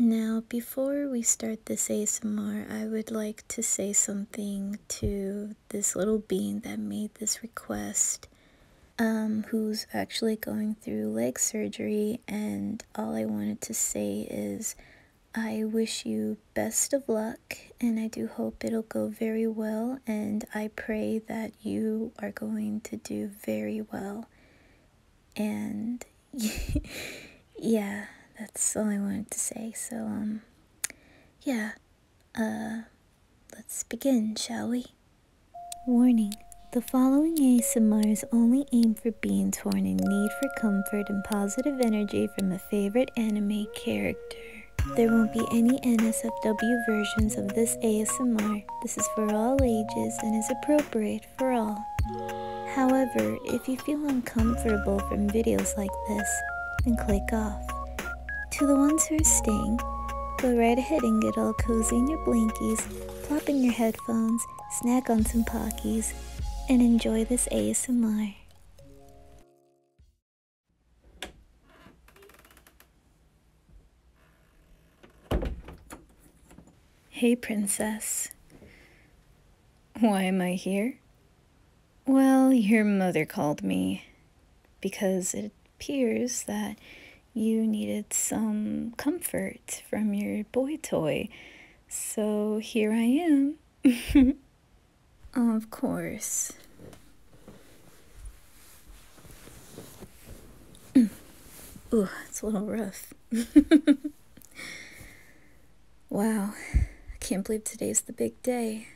Now, before we start this ASMR, I would like to say something to this little being that made this request, um, who's actually going through leg surgery. And all I wanted to say is, I wish you best of luck, and I do hope it'll go very well. And I pray that you are going to do very well and yeah, that's all I wanted to say. So, um, yeah, uh, let's begin, shall we? Warning. The following ASMR is only aimed for being torn in need for comfort and positive energy from a favorite anime character. There won't be any NSFW versions of this ASMR. This is for all ages and is appropriate for all. However, if you feel uncomfortable from videos like this, then click off. To the ones who are staying, go right ahead and get all cozy in your blankies, plop in your headphones, snack on some Pockies, and enjoy this ASMR. Hey, Princess. Why am I here? Well, your mother called me because it appears that you needed some comfort from your boy toy. So here I am. of course. Oh, it's a little rough. wow, I can't believe today's the big day.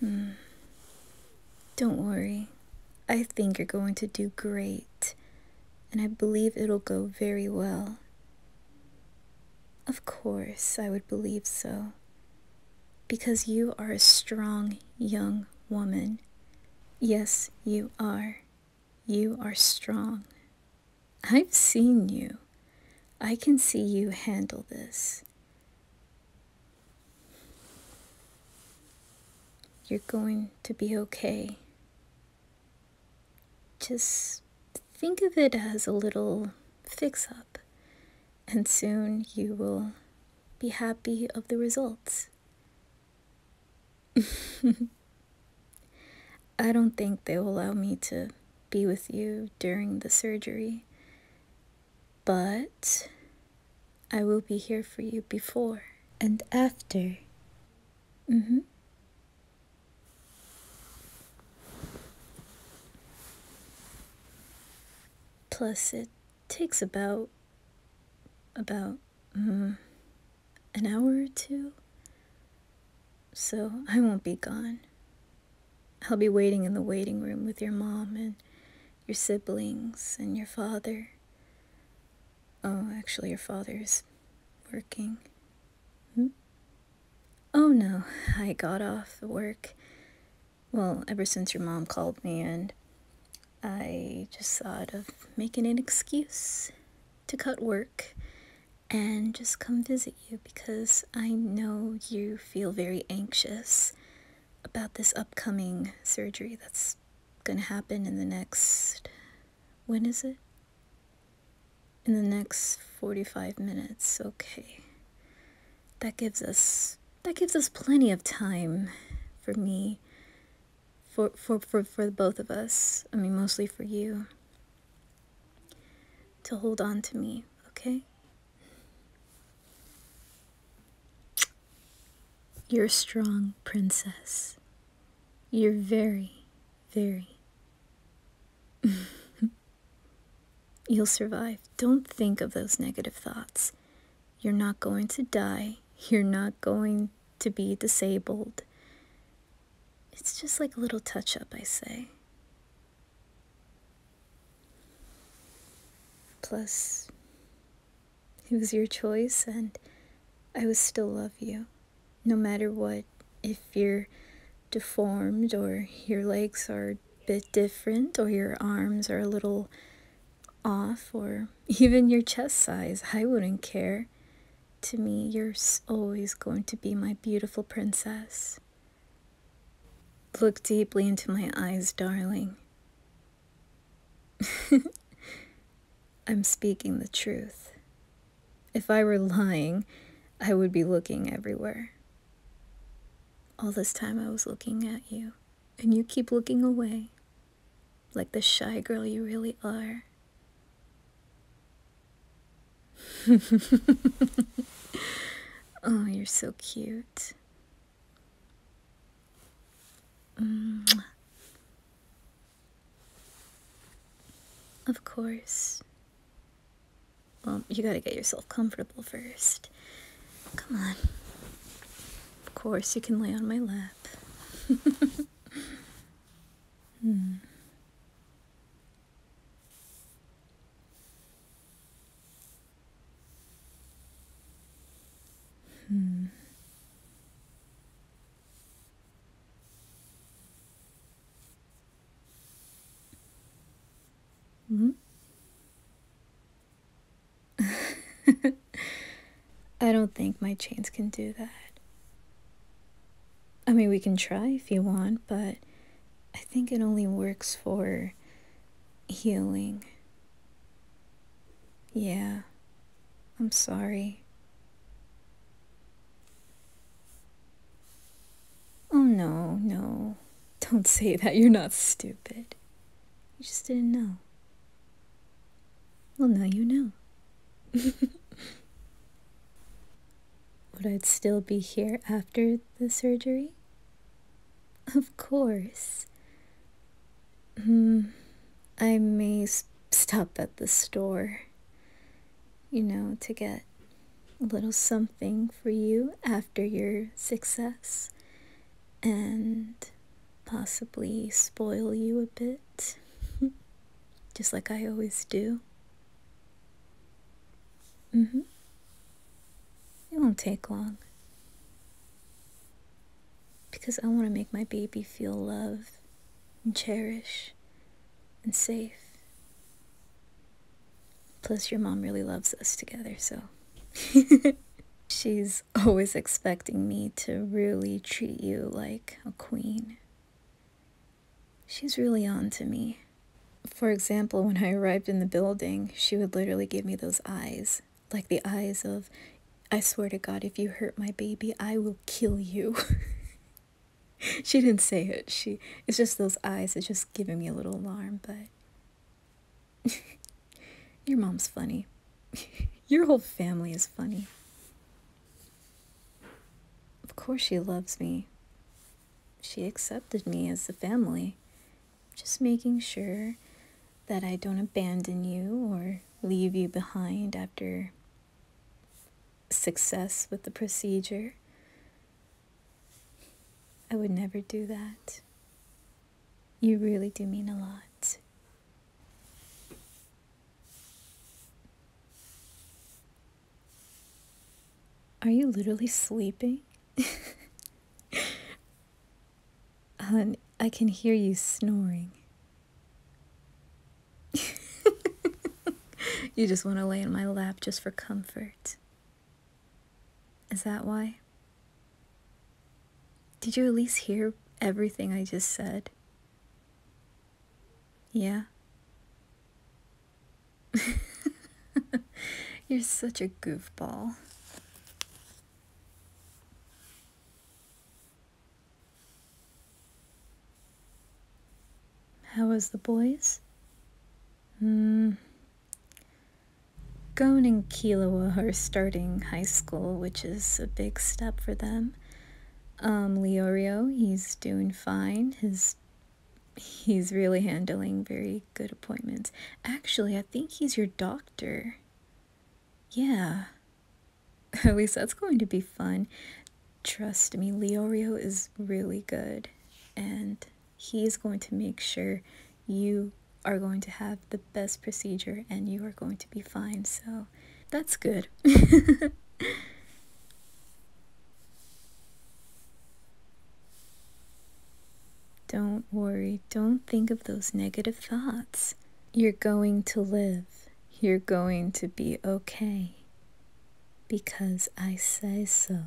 Hmm. Don't worry. I think you're going to do great, and I believe it'll go very well. Of course, I would believe so, because you are a strong young woman Yes, you are. You are strong. I've seen you. I can see you handle this. You're going to be okay. Just think of it as a little fix up, and soon you will be happy of the results. I don't think they'll allow me to be with you during the surgery, but I will be here for you before and after. Mm-hmm. Plus, it takes about about um, an hour or two so i won't be gone i'll be waiting in the waiting room with your mom and your siblings and your father oh actually your father's working hmm? oh no i got off work well, ever since your mom called me, and I just thought of making an excuse to cut work and just come visit you because I know you feel very anxious about this upcoming surgery that's going to happen in the next. When is it? In the next 45 minutes. Okay. That gives us that gives us plenty of time for me, for, for, for, for both of us. I mean, mostly for you. To hold on to me, okay? You're a strong princess. You're very, very. You'll survive. Don't think of those negative thoughts. You're not going to die. You're not going to be disabled. It's just like a little touch up, I say. Plus, it was your choice, and I would still love you, no matter what. If you're deformed, or your legs are a bit different, or your arms are a little off or even your chest size. I wouldn't care. To me, you're always going to be my beautiful princess. Look deeply into my eyes, darling. I'm speaking the truth. If I were lying, I would be looking everywhere. All this time I was looking at you and you keep looking away like the shy girl you really are. oh, you're so cute. Of course. Well, you gotta get yourself comfortable first. Come on. Of course, you can lay on my lap. hmm. Hmm. -hmm. I don't think my chains can do that. I mean, we can try if you want, but I think it only works for healing. Yeah, I'm sorry. Oh, no, no. Don't say that. You're not stupid. You just didn't know. Well, now you know. Would I still be here after the surgery? Of course. Hmm. I may stop at the store, you know, to get a little something for you after your success and possibly spoil you a bit, just like I always do. Mm hmm. It won't take long because I want to make my baby feel loved and cherished and safe Plus, your mom really loves us together, so. She's always expecting me to really treat you like a queen. She's really on to me. For example, when I arrived in the building, she would literally give me those eyes, like the eyes of, I swear to God, if you hurt my baby, I will kill you. she didn't say it. She it's just those eyes. It's just giving me a little alarm, but Your mom's funny. Your whole family is funny. Of course, she loves me. She accepted me as a family. Just making sure that I don't abandon you or leave you behind after success with the procedure. I would never do that. You really do mean a lot. Are you literally sleeping? Hun, I can hear you snoring. you just want to lay in my lap just for comfort. Is that why? Did you at least hear everything I just said? Yeah. You're such a goofball. How was the boys? Hmm. Gone and Kilawa are starting high school, which is a big step for them. Um, Leorio, he's doing fine. His he's really handling very good appointments. Actually, I think he's your doctor. Yeah. At least that's going to be fun trust me, Leorio is really good, and he is going to make sure you are going to have the best procedure and you are going to be fine. So that's good. don't worry, don't think of those negative thoughts. You're going to live, you're going to be okay because I say so.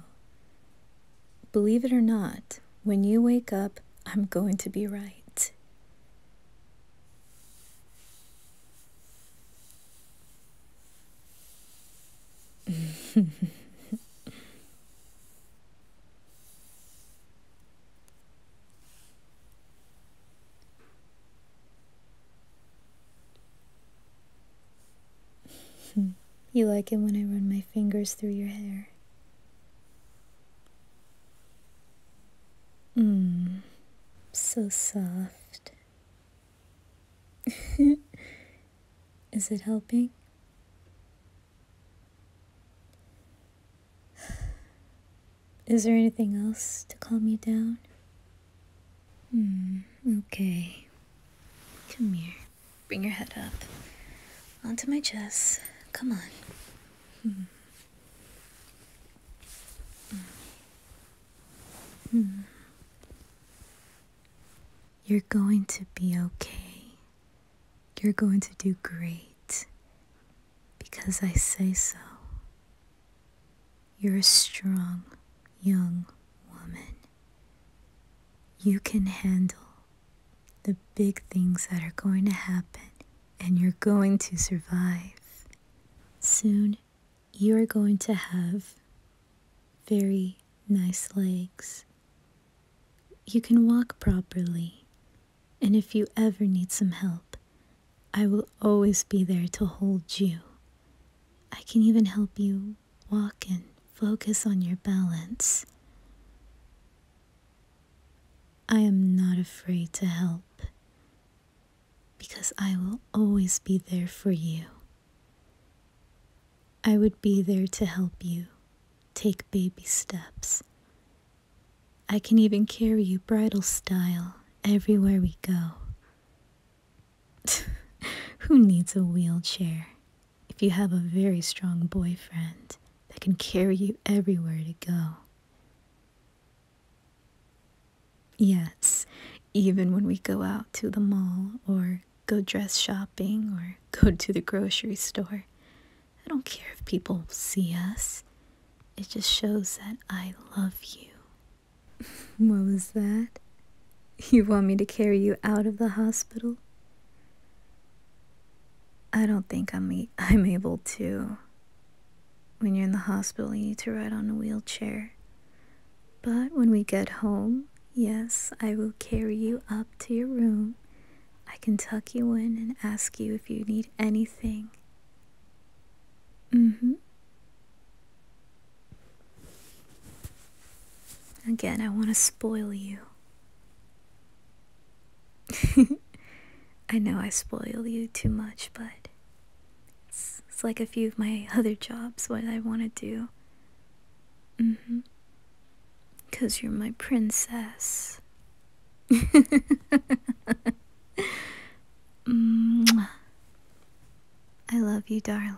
Believe it or not, when you wake up, I'm going to be right. Hmm. you like it when I run my fingers through your hair. Mmm, so soft. Is it helping? Is there anything else to calm you down? Hmm, okay. Come here. Bring your head up. Onto my chest. Come on. Hmm. hmm. You're going to be okay. You're going to do great. Because I say so. You're a strong young woman. You can handle the big things that are going to happen, and you're going to survive. Soon, you're going to have very nice legs. You can walk properly, and if you ever need some help, I will always be there to hold you. I can even help you walk and focus on your balance. I am not afraid to help because I will always be there for you. I would be there to help you take baby steps. I can even carry you bridal style everywhere we go. Who needs a wheelchair if you have a very strong boyfriend that can carry you everywhere to go? Yes, even when we go out to the mall or go dress shopping or go to the grocery store, I don't care if people see us. It just shows that I love you what was that? You want me to carry you out of the hospital? I don't think I'm, e I'm able to. When you're in the hospital, you need to ride on a wheelchair. But when we get home, yes, I will carry you up to your room. I can tuck you in and ask you if you need anything. Mm hmm. Again, I want to spoil you. I know I spoil you too much, but it's, like a few of my other jobs, what I want to do. Mm hmm. Because you're my princess. I love you, darling.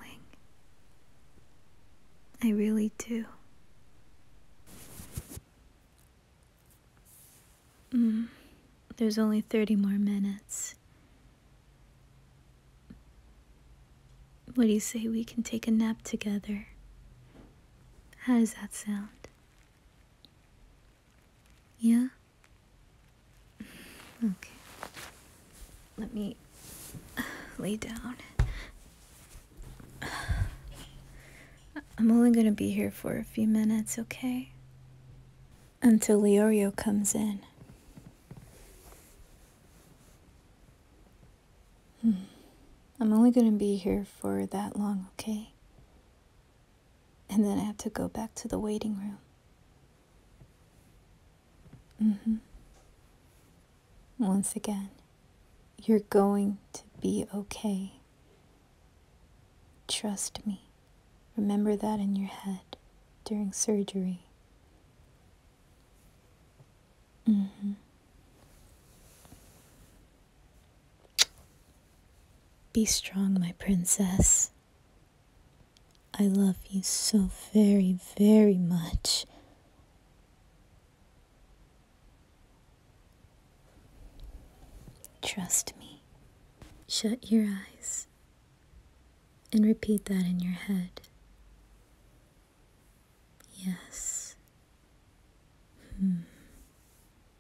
I really do. Mm. there's only 30 more minutes. What do you say we can take a nap together? How does that sound? Yeah? Okay. Let me lay down. I'm only gonna be here for a few minutes, okay? Until Liorio comes in. Hmm. I'm only gonna be here for that long, okay? And then I have to go back to the waiting room. Mm-hmm. Once again, you're going to be okay. Trust me. Remember that in your head during surgery. Mm-hmm. Be strong, my princess. I love you so very, very much. Trust me. Shut your eyes and repeat that in your head. Yes. Hmm.